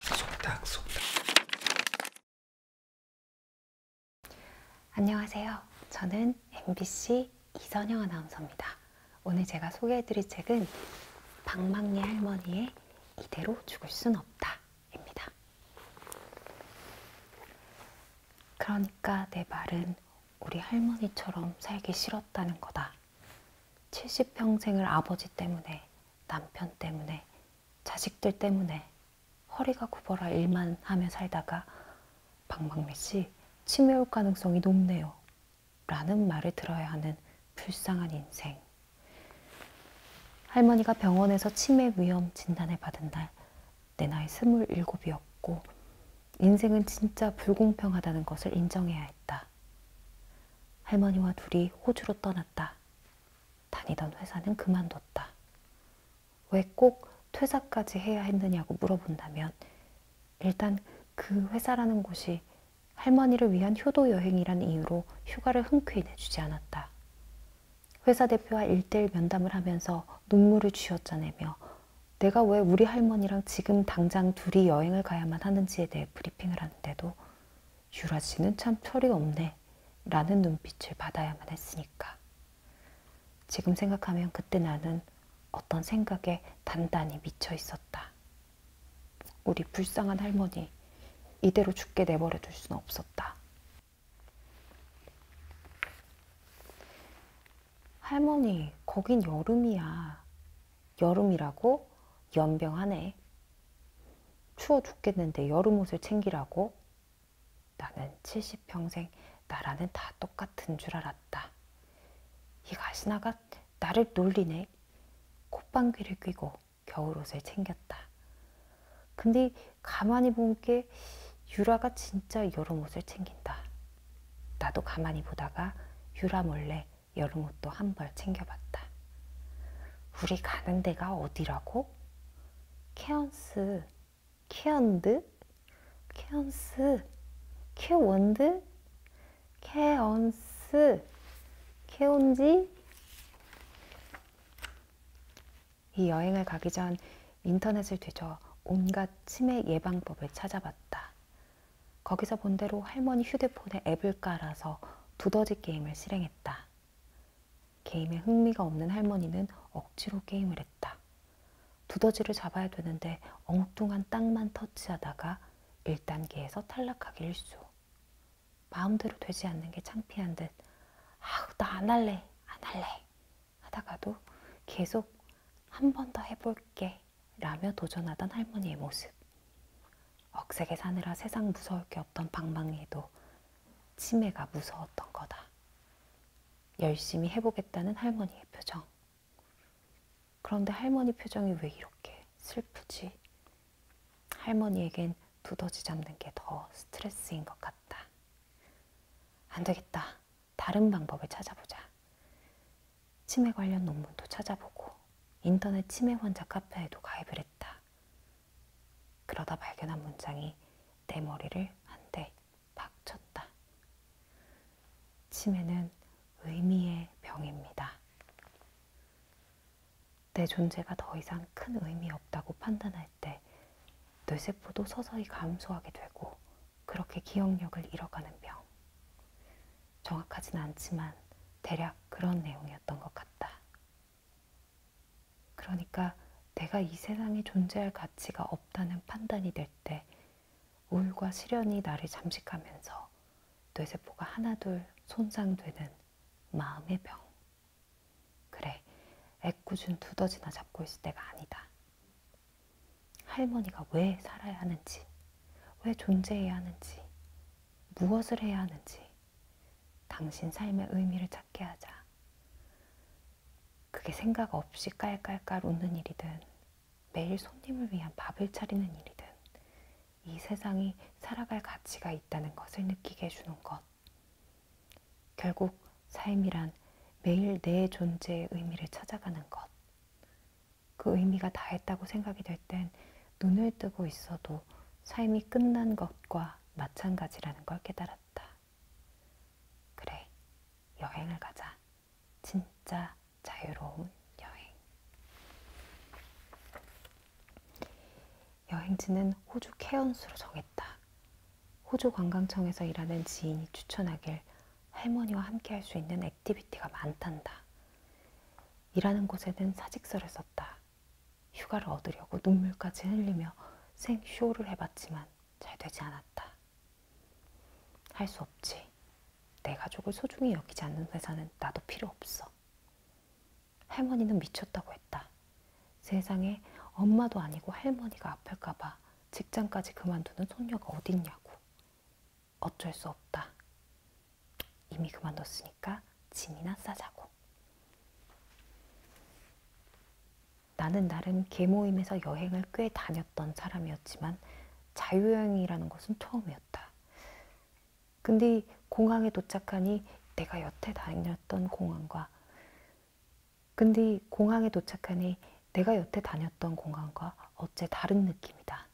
속닥 속닥 안녕하세요. 저는 MBC 이선영 아나운서입니다. 오늘 제가 소개해드릴 책은 방망리 할머니의 이대로 죽을 순 없다 입니다. 그러니까 내 말은 우리 할머니처럼 살기 싫었다는 거다. 70평생을 아버지 때문에, 남편 때문에, 자식들 때문에 허리가 굽어라 일만 하며 살다가 방방미 씨 치매 올 가능성이 높네요. 라는 말을 들어야 하는 불쌍한 인생. 할머니가 병원에서 치매 위험 진단을 받은 날, 내 나이 스물일곱이었고, 인생은 진짜 불공평하다는 것을 인정해야 했다. 있었다. 할머니와 둘이 호주로 떠났다. 다니던 회사는 그만뒀다. 왜 꼭 퇴사까지 해야 했느냐고 물어본다면 일단 그 회사라는 곳이 할머니를 위한 효도 여행이라는 이유로 휴가를 흔쾌히 내주지 않았다. 회사 대표와 일대일 면담을 하면서 눈물을 쥐어짜내며 내가 왜 우리 할머니랑 지금 당장 둘이 여행을 가야만 하는지에 대해 브리핑을 하는데도 유라 씨는 참 철이 없네 라는 눈빛을 받아야만 했으니까. 지금 생각하면 그때 나는 어떤 생각에 단단히 미쳐 있었다. 우리 불쌍한 할머니, 이대로 죽게 내버려 둘 수는 없었다. 할머니, 거긴 여름이야. 여름이라고? 연병하네. 추워 죽겠는데 여름 옷을 챙기라고? 나는 70평생 나라는 다 똑같은 줄 알았다. 이 가시나가 나를 놀리네. 콧방귀를 뀌고 겨울옷을 챙겼다. 근데 가만히 본 게 유라가 진짜 여름 옷을 챙긴다. 나도 가만히 보다가 유라 몰래 여름옷도 한 벌 챙겨봤다. 우리 가는 데가 어디라고? 케언스, 케언드, 케언스, 케원드, 케언스, 케온지. 이 여행을 가기 전 인터넷을 뒤져 온갖 치매 예방법을 찾아봤다. 거기서 본 대로 할머니 휴대폰에 앱을 깔아서 두더지 게임을 실행했다. 게임에 흥미가 없는 할머니는 억지로 게임을 했다. 두더지를 잡아야 되는데 엉뚱한 땅만 터치하다가 1단계에서 탈락하기 일쑤. 마음대로 되지 않는 게 창피한 듯, 아우, 나 안 할래, 안 할래 하다가도 계속 한 번 더 해볼게 라며 도전하던 할머니의 모습. 억세게 사느라 세상 무서울 게 없던 방망이도 치매가 무서웠던 거다. 열심히 해보겠다는 할머니의 표정. 그런데 할머니 표정이 왜 이렇게 슬프지? 할머니에겐 두더지 잡는 게 더 스트레스인 것 같다. 안 되겠다. 다른 방법을 찾아보자. 치매 관련 논문도 찾아보고 인터넷 치매 환자 카페에도 가입을 했다. 그러다 발견한 문장이 내 머리를 한 대 박쳤다. 치매는 의미의 병입니다. 내 존재가 더 이상 큰 의미 없다고 판단할 발달할 때 뇌세포도 서서히 감소하게 되고 그렇게 기억력을 잃어가는 병. 정확하진 않지만 대략 그런 내용이었던 것 같다. 그러니까 내가 이 세상에 존재할 가치가 없다는 판단이 될 때 우울과 시련이 나를 잠식하면서 뇌세포가 하나둘 손상되는 마음의 병. 그래, 애꿎은 두더지나 잡고 있을 때가 아니다. 할머니가 왜 살아야 하는지, 왜 존재해야 하는지, 무엇을 해야 하는지, 당신 삶의 의미를 찾게 하자. 그게 생각 없이 깔깔깔 웃는 일이든, 매일 손님을 위한 밥을 차리는 일이든, 이 세상이 살아갈 가치가 있다는 것을 느끼게 해주는 것. 결국 삶이란 매일 내 존재의 의미를 찾아가는 것. 그 의미가 다했다고 생각이 될 땐 눈을 뜨고 있어도 삶이 끝난 것과 마찬가지라는 걸 깨달았다. 그래, 여행을 가자. 진짜 자유로운 여행. 여행지는 호주 케언스로 정했다. 호주 관광청에서 일하는 지인이 추천하길 할머니와 함께 할 수 있는 액티비티가 많단다. 일하는 곳에는 사직서를 썼다. 휴가를 얻으려고 눈물까지 흘리며 생쇼를 해봤지만 잘 되지 않았다. 할 수 없지. 내 가족을 소중히 여기지 않는 회사는 나도 필요 없어. 할머니는 미쳤다고 했다. 세상에 엄마도 아니고 할머니가 아플까봐 직장까지 그만두는 손녀가 어딨냐고. 어쩔 수 없다. 이미 그만뒀으니까 짐이나 싸자고. 나는 나름 계모임에서 여행을 꽤 다녔던 사람이었지만 자유여행이라는 것은 처음이었다. 근데 공항에 도착하니 내가 여태 다녔던 공항과 근데 공항에 도착하니 내가 여태 다녔던 공항과 어째 다른 느낌이다.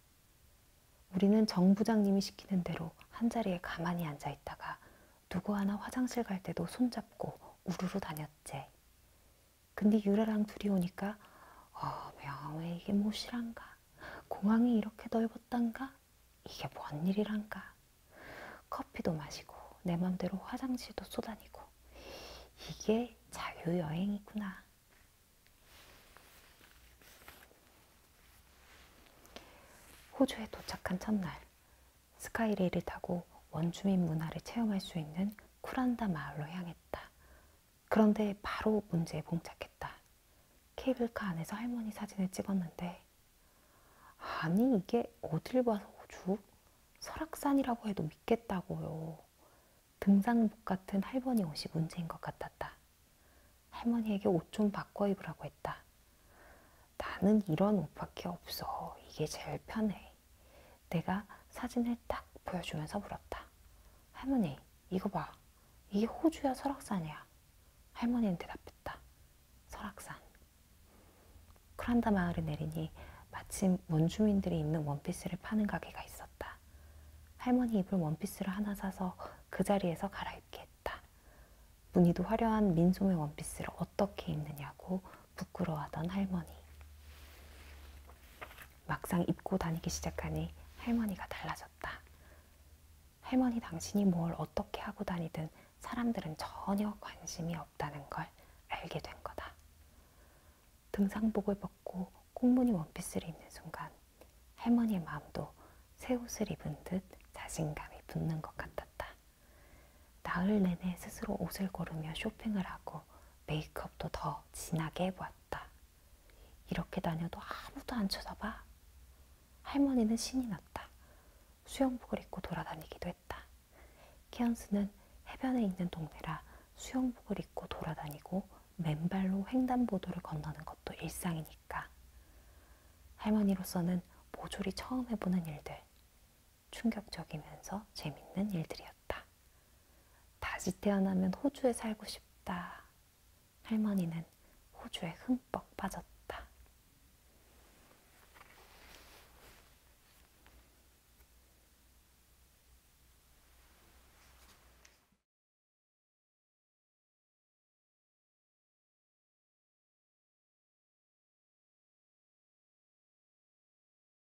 우리는 정 부장님이 시키는 대로 한자리에 가만히 앉아 있다가 누구 하나 화장실 갈 때도 손잡고 우르르 다녔지. 근데 유라랑 둘이 오니까 어, 명왜 이게 못실한가 뭐 공항이 이렇게 넓었단가? 하다가 이게 뭔 일이란가. 커피도 마시고 내 맘대로 화장실도 쏘다니고 이게 자유여행이구나. 호주에 도착한 첫날 스카이레일을 타고 원주민 문화를 체험할 수 있는 쿠란다 마을로 향했다. 그런데 바로 문제에 봉착했다. 케이블카 안에서 할머니 사진을 찍었는데 아니 이게 어딜 봐서 호주? 설악산이라고 해도 믿겠다고요. 등산복 같은 할머니 옷이 문제인 것 같았다. 할머니에게 옷 좀 바꿔 입으라고 했다. 나는 이런 옷밖에 없어. 이게 제일 편해. 내가 사진을 딱 보여주면서 물었다. 할머니, 이거 봐. 이게 호주야 설악산이야. 할머니는 대답했다. 설악산. 크란다 마을에 내리니 마침 원주민들이 입는 원피스를 파는 가게가 있었다. 할머니 입을 원피스를 하나 사서 그 자리에서 갈아입게 했다. 무늬도 화려한 민소매 원피스를 어떻게 입느냐고 부끄러워하던 할머니. 막상 입고 다니기 시작하니 할머니가 달라졌다. 할머니 당신이 뭘 어떻게 하고 다니든 사람들은 전혀 관심이 없다는 걸 알게 된 거다. 등산복을 벗고 꽁무늬 원피스를 입는 순간 할머니의 마음도 새 옷을 입은 듯 자신감이 붙는 것 같았다. 나흘 내내 스스로 옷을 고르며 쇼핑을 하고 메이크업도 더 진하게 해보았다. 이렇게 다녀도 아무도 안 쳐다봐. 할머니는 신이 났다. 수영복을 입고 돌아다니기도 했다. 키언스는 해변에 있는 동네라 수영복을 입고 돌아다니고 맨발로 횡단보도를 건너는 것도 일상이니까. 할머니로서는 모조리 처음 해보는 일들. 충격적이면서 재밌는 일들이었다. 거였다. 다시 태어나면 호주에 살고 싶다. 할머니는 호주에 흠뻑 빠졌다.